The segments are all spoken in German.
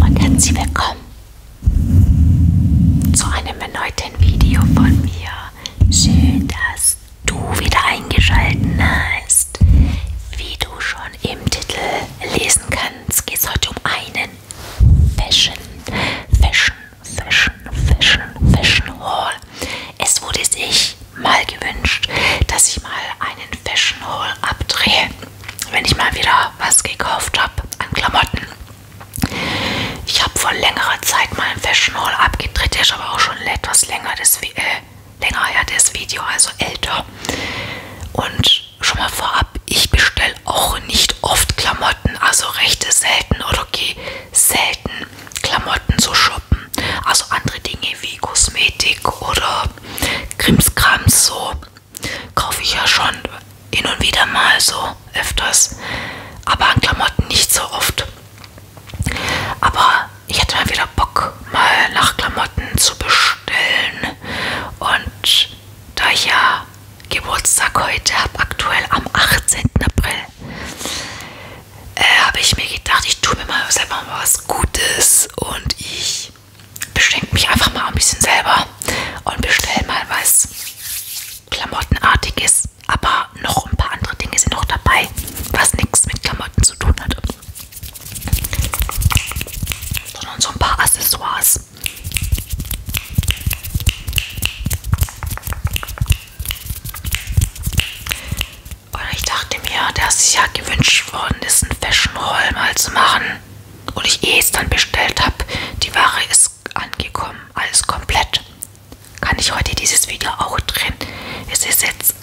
Und herzlich willkommen zu einem erneuten Video von mir. Schön, dass du wieder eingeschalten hast. Wie du schon im Titel lesen kannst, geht es heute um einen Fashion, Fashion, Fashion, Fashion, Fashion Haul. Es wurde sich wirklich mal gewünscht, dass ich mal einen Fashion Haul abdrehe, wenn ich mal wieder was gekauft habe an Klamotten. Ich habe vor längerer Zeit mal einen Fashion Haul abgedreht, der ist aber auch schon etwas länger, das, äh, länger her, das Video, also älter. Und schon mal vorab, ich bestelle auch nicht oft Klamotten, also rechte selten oder gehe selten Klamotten zu shoppen. Also andere Dinge wie Kosmetik oder Krimskrams so kaufe ich ja schon hin und wieder mal so öfters, aber an Klamotten nicht so oft. Aber ich hätte mal wieder Bock, mal nach Klamotten zu bestellen. Und da ich ja Geburtstag heute habe, aktuell am 18. April, äh, habe ich mir gedacht, ich tue mir mal selber mal was Gutes und ich beschenke mich einfach mal ein bisschen selber und bestelle mal was Klamottenartiges. Aber noch ein paar andere Dinge sind noch dabei, was nichts mit Klamotten zu tun hat. Sondern so ein paar Accessoires. Und ich dachte mir, dass es ja gewünscht worden ist, ein Fashion Haul mal zu machen. Und ich eh es dann bestellt habe. Die Ware ist angekommen. Alles komplett. Kann ich heute dieses Video auch drehen? Es ist jetzt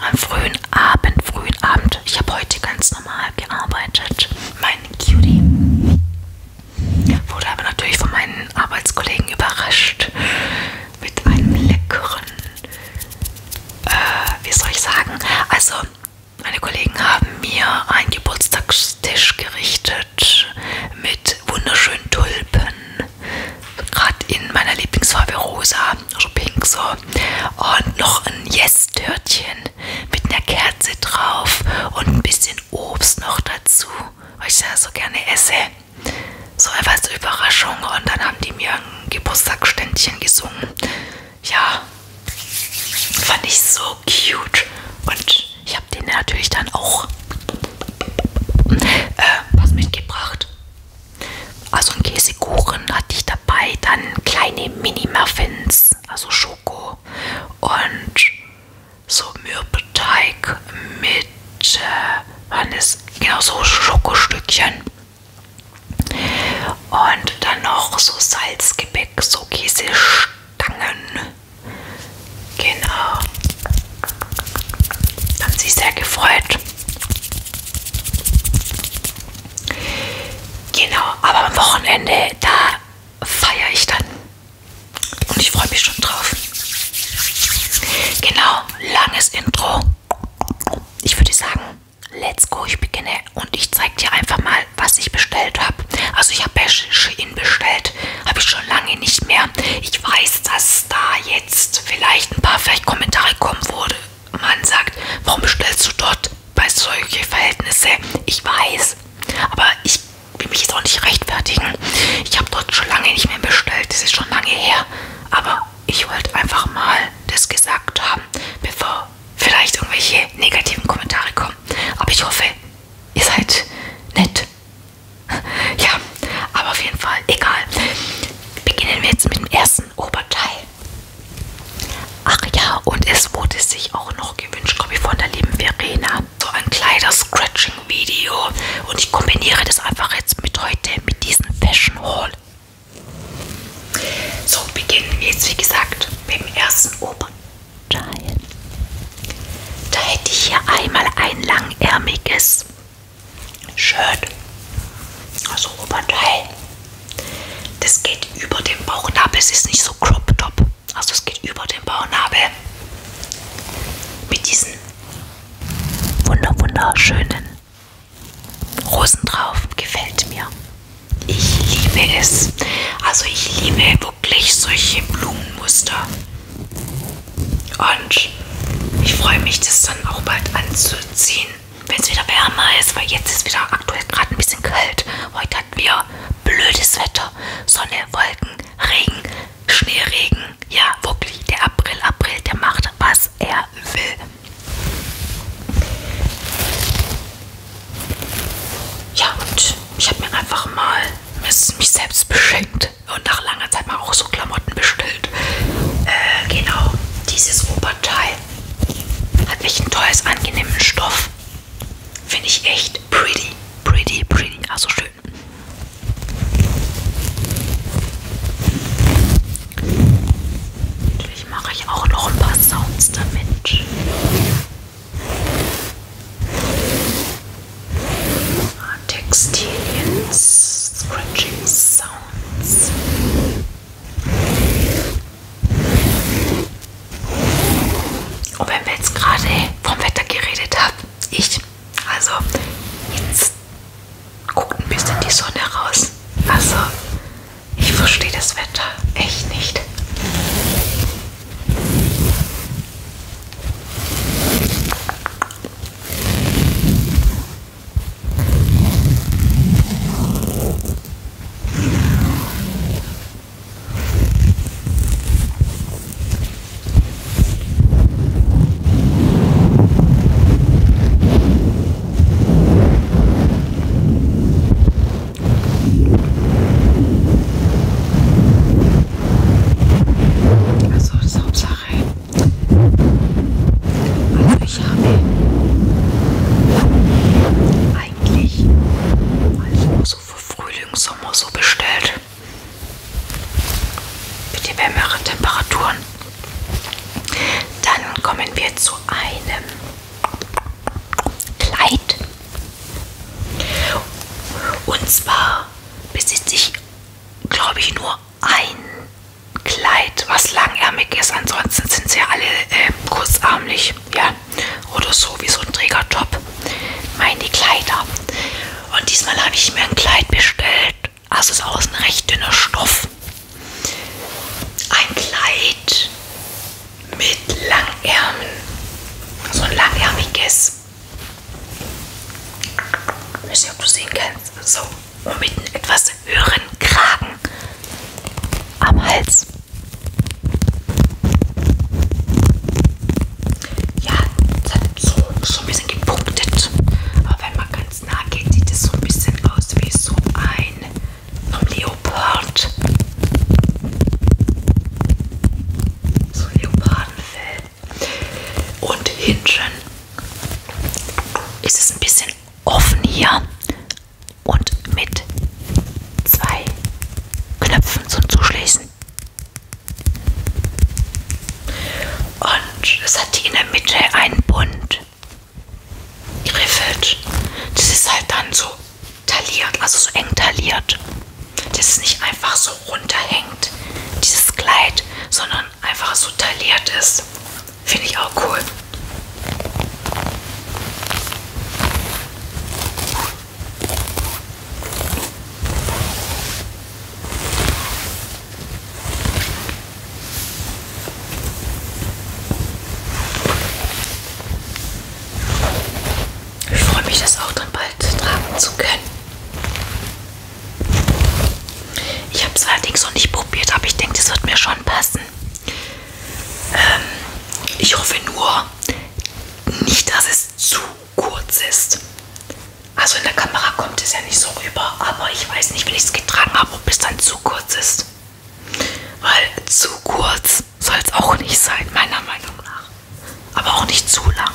am frühen Abend, frühen Abend. Ich habe heute ganz normal gearbeitet. Mein Cutie wurde aber natürlich von meinen Arbeitskollegen überrascht mit einem leckeren, äh, wie soll ich sagen, also meine Kollegen haben mir ein Geburtstagstisch gerichtet mit wunderschönen Tulpen, gerade in meiner Lieblingsfarbe rosa, also pink so und noch ein Yes-Törtchen mit einer Kerze drauf und ein bisschen Obst noch dazu, weil ich das so gerne esse. So einfach als Überraschung und dann haben die mir ein Geburtstagsständchen gesungen. Ja, fand ich so cute. Und ich habe den natürlich dann auch äh, was mitgebracht. Also einen Käsekuchen hatte ich dabei, dann kleine Mini-Muffins, also Schoko und so Mürbeteig mit Deutsche waren es genau so Schokostückchen. Und dann noch so Salzgebäck, so Käsestangen. Genau. Haben sich sehr gefreut. Genau, aber am Wochenende, da feiere ich dann. Und ich freue mich schon drauf. Genau, langes Intro. Ich würde sagen, let's go, ich beginne und ich zeige dir einfach mal, was ich bestellt habe. Also ich habe bei Shein bestellt, habe ich schon lange nicht mehr. Ich weiß, dass da jetzt vielleicht ein paar vielleicht Kommentare kommen, wo man sagt, warum bestellst du dort bei solchen Verhältnissen? Ich weiß, aber ich will mich jetzt auch nicht rechtfertigen. Ich habe dort schon lange nicht mehr bestellt, das ist schon lange her. Aber ich wollte einfach mal das gesagt haben, bevor vielleicht irgendwelche negativen Kommentare kommen. Aber ich hoffe, ihr seid nett. Ja, aber auf jeden Fall, egal. Beginnen wir jetzt mit dem ersten Oberteil. Ach ja, und es wurde sich auch noch gewünscht, glaube ich, von der lieben Verena. So ein kleiner Scratch Fashion Video und ich kombiniere das einfach jetzt mit heute mit diesem Fashion Haul. So beginnen wir jetzt wie gesagt mit dem ersten Oberteil. Da hätte ich hier einmal ein langärmiges Shirt, also Oberteil. Das geht über den Bauchnabel, es ist nicht so Crop Top, also es geht über den Bauchnabel mit diesen wunder wunderschönen Rosen drauf. Gefällt mir. Ich liebe es. Also ich liebe wirklich solche Blumenmuster. Und ich freue mich, das dann auch bald anzuziehen, wenn es wieder wärmer ist, weil jetzt ist wieder aktuell gerade ein bisschen kalt. Heute hatten wir blödes Wetter, Sonne, Wolken, Regen, Schneeregen. Ja, wirklich, der April, April, der macht, was er will. Ja, und ich habe mir einfach mal mich selbst beschenkt und nach langer Zeit mal auch so Klamotten bestellt. Äh, genau, dieses Oberteil hat echt ein tolles, angenehmen Stoff. Finde ich echt pretty, pretty, pretty. Also schön. Natürlich mache ich auch noch ein paar Sounds damit. Ah, Textilien, Scratching Sounds. Und oh, wenn wir jetzt gerade vom Wetter geredet haben, ich also jetzt guckt ein bisschen die Sonne raus. Also ich verstehe das Wetter echt nicht. Also das ist Hauptsache. Also ich habe eigentlich also so für Frühling, Sommer so bestellt bitte wärmere Temperaturen. Dann kommen wir zu einem Kleid. Und zwar besitze ich, glaube ich, nur ein Kleid, was langärmig ist. Ansonsten sind sie ja alle äh, kurzarmlich, ja, oder so wie so ein Trägertop meine Kleider. Und diesmal habe ich mir ein Kleid bestellt. Also ist außen recht dünner Stoff. Ein Kleid mit Langärmen. So ein langärmiges. Ich weiß nicht, ob du sehen kannst. So. Und mit einem etwas höheren Kragen am Hals ja, es hat so, so ein bisschen gepunktet. Aber wenn man ganz nah geht, sieht es so ein bisschen aus wie so ein Leopard. So ein Leopardenfell. Und hinten ist es ein bisschen offen hier und mit zwei Knöpfen zum Zuschließen. Und es hat in der Mitte einen Bund griffelt. Das ist halt dann so tailliert, also so eng tailliert. Das ist nicht einfach so runterhängt, dieses Kleid, sondern einfach so tailliert ist. Finde ich auch cool. Ich freue mich, das auch dann bald tragen zu können. Ich habe es allerdings noch nicht probiert, aber ich denke, das wird mir schon passen. Ähm, ich hoffe nur nicht, dass es zu kurz ist. Also in der Kamera kommt es ja nicht so rüber, aber ich weiß nicht, wenn ich es getragen habe, ob es dann zu kurz ist. Weil zu kurz soll es auch nicht sein, meiner Meinung nach. Aber auch nicht zu lang.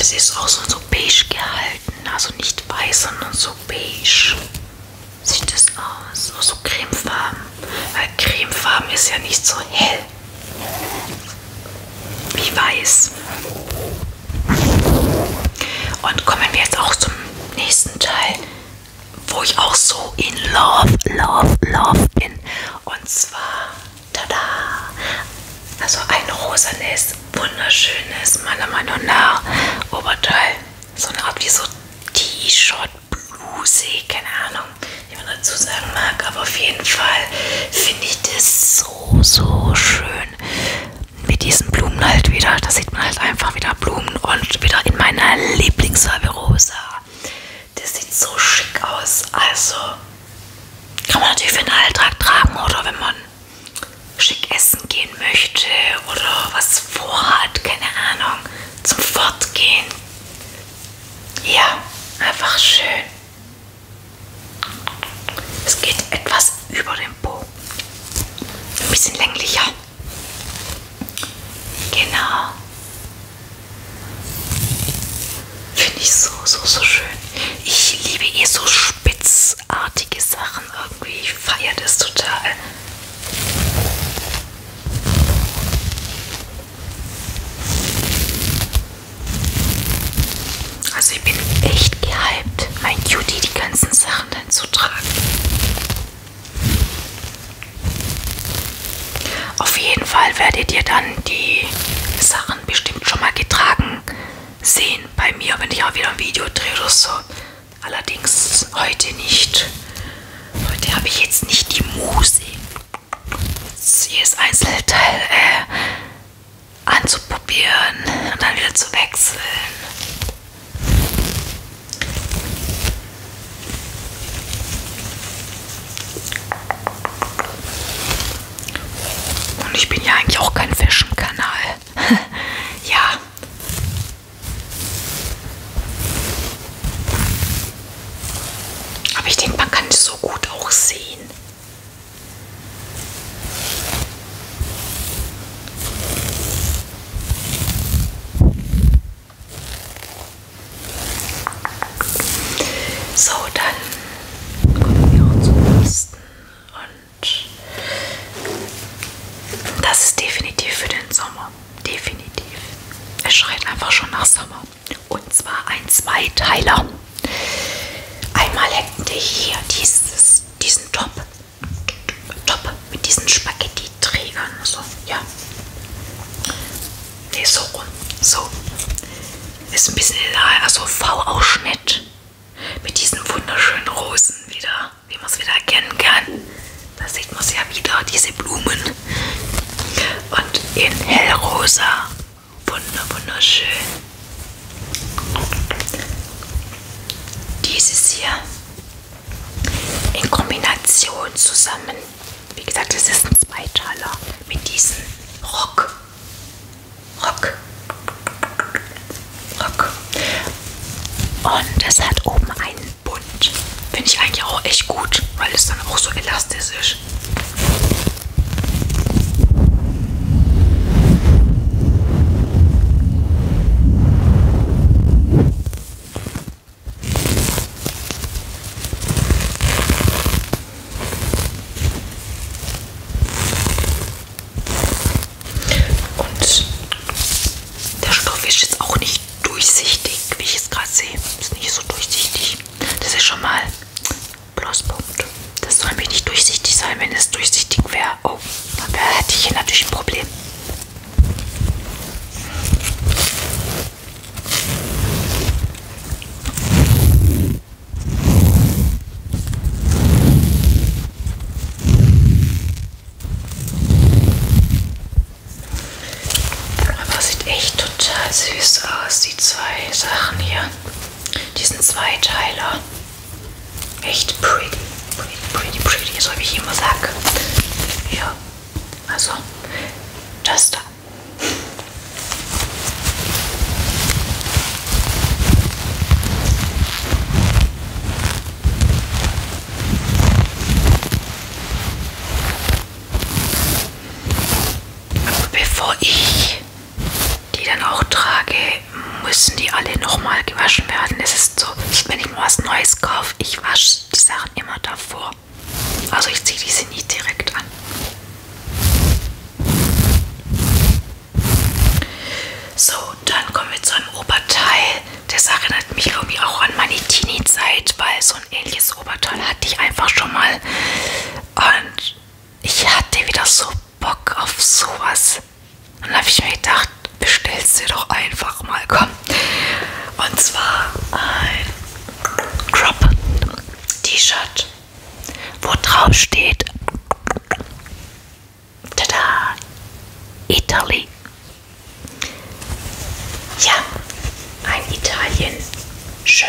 Es ist auch so, so beige gehalten, also nicht weiß, sondern so beige sieht es aus. Oh, so cremefarben. Weil cremefarben ist ja nicht so hell wie weiß. Und kommen wir jetzt auch zum nächsten Teil, wo ich auch so in Love, Love, Love bin. Und zwar, tada! Also ein rosanes, wunderschönes, meiner Meinung nach, Oberteil. So eine Art wie so T-Shirt bluesig, keine Ahnung, wie man dazu sagen mag, aber auf jeden Fall finde ich das so, so schön mit diesen Blumen halt wieder. Da sieht man halt einfach wieder Blumen und wieder in meiner Lieblingsfarbe rosa. Das sieht so schick aus, also kann man natürlich für den Alltag tragen oder wenn man schick essen gehen möchte oder was vorhat, keine Ahnung zum Fortgehen. Ja, einfach schön. Es geht etwas über den Po. Ein bisschen länglicher. Genau. Finde ich so, so, so schön. Ich liebe eh so spitzartige Sachen irgendwie. Ich feiere das total. Also ich bin echt gehypt, mein Cutie die ganzen Sachen dann zu tragen. Auf jeden Fall werdet ihr dann die Sachen bestimmt schon mal getragen sehen bei mir, wenn ich auch wieder ein Video drehe oder so. Allerdings heute nicht. Heute habe ich jetzt nicht die Muse, jedes Einzelteil äh, anzuprobieren und dann wieder zu wechseln. Und ich bin ja eigentlich auch kein Fashion-Kanal. ja, aber ich denke, man kann es so gut auch sehen. So, dann kommen wir auch zum nächsten. Und das ist definitiv für den Sommer definitiv. Es schreit einfach schon nach Sommer. Und zwar ein Zweiteiler. Einmal hätten wir hier dieses, diesen Top. Top mit diesen Spaghetti-Trägern. So, ja. Ne, so rum. So. Ist ein bisschen, also V-Ausschnitt. Mit diesen wunderschönen Rosen wieder wie man es wieder erkennen kann, da sieht man es ja wieder, diese Blumen. Und in hellrosa. Wunder, wunderschön. Dieses hier in Kombination zusammen. Wie gesagt, es ist ein Zweiteiler mit diesem Rock. Rock. Rock. Und es hat oben einen bunt. Finde ich eigentlich auch echt gut, weil es dann auch so elastisch ist. Und der Stoff ist jetzt auch nicht durchsichtig, wie ich es gerade sehe. Ist nicht so durchsichtig. Das ist schon mal Pluspunkt. Das soll mich nicht durchsichtig sein, wenn es durchsichtig wäre. Oh, dann hätte ich hier natürlich ein Problem. Aber sieht echt total süß aus, die zwei Sachen hier. Diesen Zweiteiler. Echt pretty, pretty, pretty, pretty, so wie ich immer sage. Ja, also das da. Aber bevor ich die dann auch trage, müssen die alle nochmal gewaschen werden. Es ist so, wenn ich mir was Neues kaufe, ich wasche die Sachen immer davor. Also ich ziehe diese nie direkt an. So, dann kommen wir zu einem Oberteil. Das erinnert mich irgendwie auch an meine Teenie-Zeit, weil so ein ähnliches Oberteil hatte ich einfach schon mal. Und ich hatte wieder so Bock auf sowas. Und habe ich mir gedacht, bestellst dir doch einfach mal, komm. Und zwar ein Crop-T-Shirt, wo drauf steht Tada! Italy. Ja, ein Italien. Schön.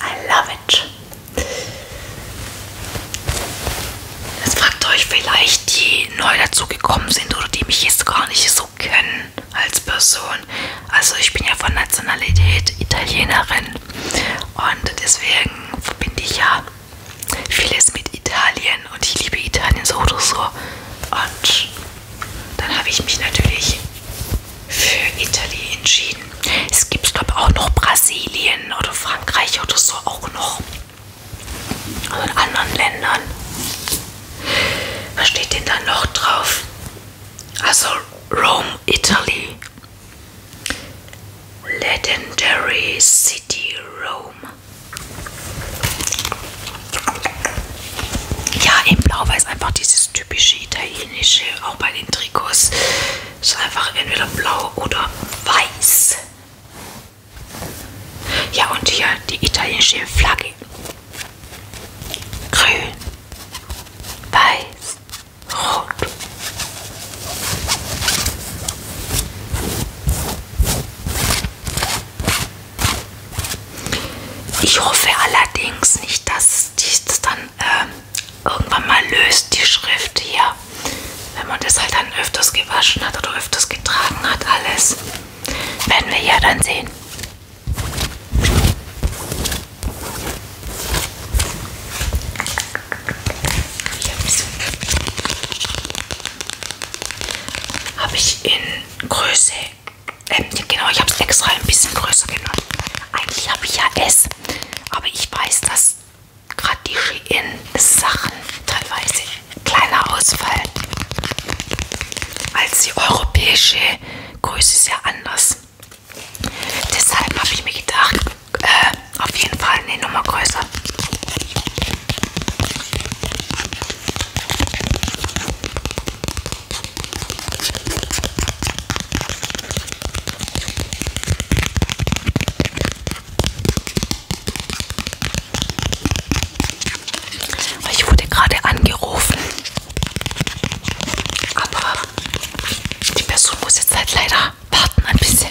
I love it. Jetzt fragt euch vielleicht, die neu dazugekommen sind oder die mich jetzt gar nicht so kennen als Person. Also ich bin ja von Nationalität Italienerin und deswegen verbinde ich ja vieles mit Italien und ich liebe Italien so oder so. Und dann habe ich mich natürlich für Italien entschieden. Es gibt, glaube ich, auch noch Brasilien oder Frankreich oder so auch noch. Also in anderen Ländern. Was steht denn da noch drauf? Also Rome, Italy. Legendary City Rome. Ja, im Blau-Weiß einfach dieses typische italienische, auch bei den Trikots. Ist einfach entweder blau oder weiß. Ja, und hier die italienische Flagge. Grün, weiß, rot. Ich hoffe allerdings nicht, dass dies dann äh, irgendwann mal löst, die Schrift hier. Wenn man das halt dann öfters gewaschen hat oder öfters getragen hat, alles. Werden wir ja dann sehen. Habe ich in Größe, äh, genau, ich habe es extra ein bisschen größer genommen. Eigentlich habe ich ja S, aber ich weiß, dass gerade die Shein-Sachen teilweise kleiner ausfallen als die europäische Größe ist ja anders. Deshalb habe ich mir gedacht, äh, auf jeden Fall eine Nummer größer. Ich wurde gerade angerufen, aber die Person muss jetzt halt leider warten ein bisschen,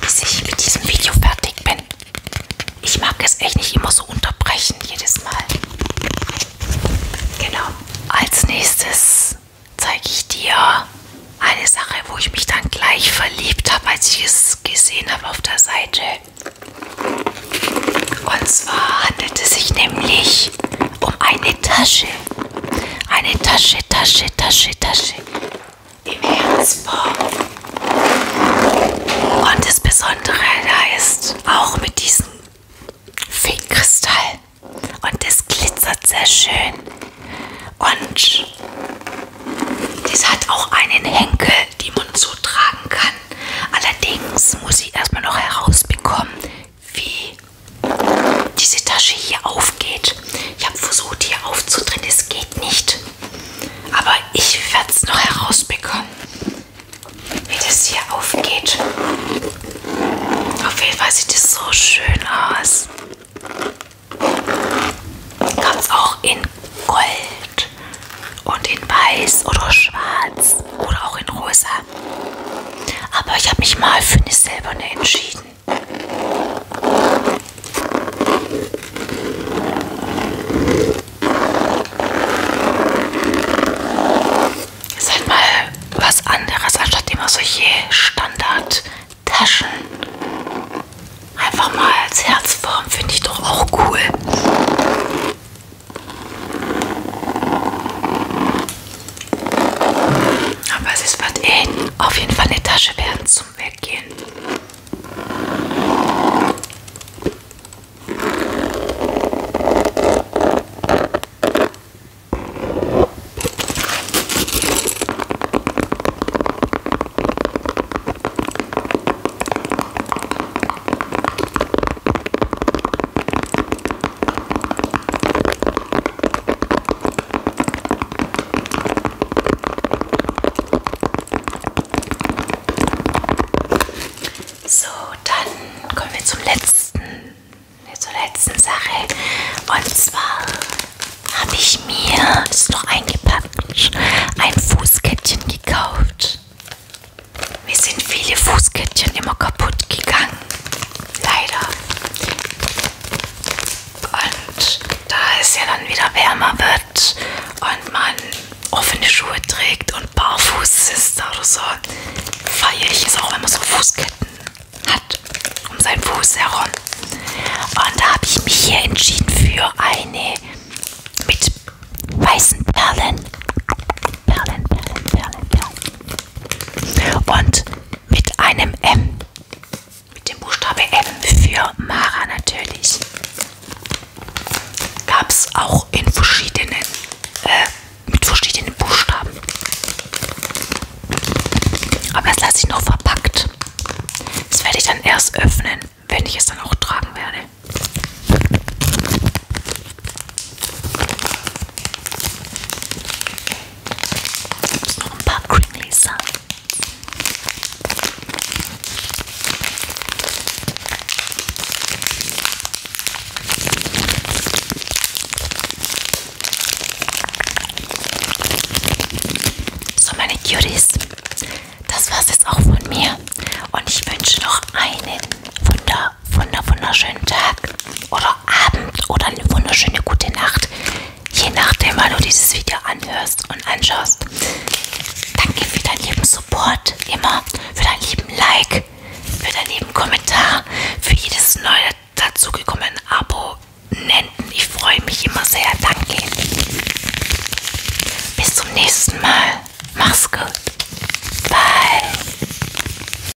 bis ich mit diesem Video fertig bin. Ich mag es echt nicht immer so unterbrechen, jedes Mal. Genau. Als nächstes zeige ich dir eine Sache, wo ich mich dann gleich verliebt habe, als ich es gesehen habe auf der Seite. Und zwar handelt es sich nämlich um eine Tasche. Eine Tasche, Tasche, Tasche, Tasche den Herzbaum. Und das Besondere da ist auch mit diesem Feenkristall. Und das glitzert sehr schön. Und das hat auch einen Henkel, den man so tragen kann. Allerdings muss ich erstmal noch herausbekommen, wie diese Tasche hier aufgeht. Ich habe versucht, hier aufzudrehen, es geht nicht. Aber ich werde es noch herausbekommen, wie das hier aufgeht. Auf jeden Fall sieht es so schön aus. Ganz auch in Gold und in Weiß oder Schwarz oder auch in Rosa. Aber ich habe mich mal für eine silberne entschieden. Ist halt mal was anderes, anstatt immer solche Standard-Taschen. Einfach mal als Herzform finde ich doch auch cool. Aber es wird eh auf jeden Fall eine Tasche werden zum Weggehen. So, dann kommen wir zum letzten, zur letzten Sache. Und zwar habe ich mir, das ist noch eingepackt, ein Fußkettchen gekauft. Mir sind viele Fußkettchen immer kaputt gegangen. Leider. Und da es ja dann wieder wärmer wird und man offene Schuhe trägt und barfuß ist oder so, feiere ich es auch, wenn man so Fußketten hat um seinen Fuß herum. Und da habe ich mich hier entschieden für eine mit weißen Perlen. Perlen, Perlen, Perlen, Perlen. Und mit einem M. Mit dem Buchstabe M für Mara natürlich. Gab es auch in verschiedenen, äh, mit verschiedenen Buchstaben. Aber das lasse ich noch verpackt. Das werde ich dann erst öffnen, wenn ich es dann auch tragen werde. Gibt es noch ein paar Kringlies an? So, meine Cuties, das war's jetzt auch von mir. Und ich wünsche noch einen wunder, wunder, wunder, wunderschönen Tag oder Abend oder eine wunderschöne gute Nacht. Je nachdem, wann du dieses Video anhörst und anschaust. Danke für deinen lieben Support, immer für deinen lieben Like, für deinen lieben Kommentar, für jedes neue dazugekommene Abo. Nenden. Ich freue mich immer sehr. Danke. Bis zum nächsten Mal. Mach's gut. Bye.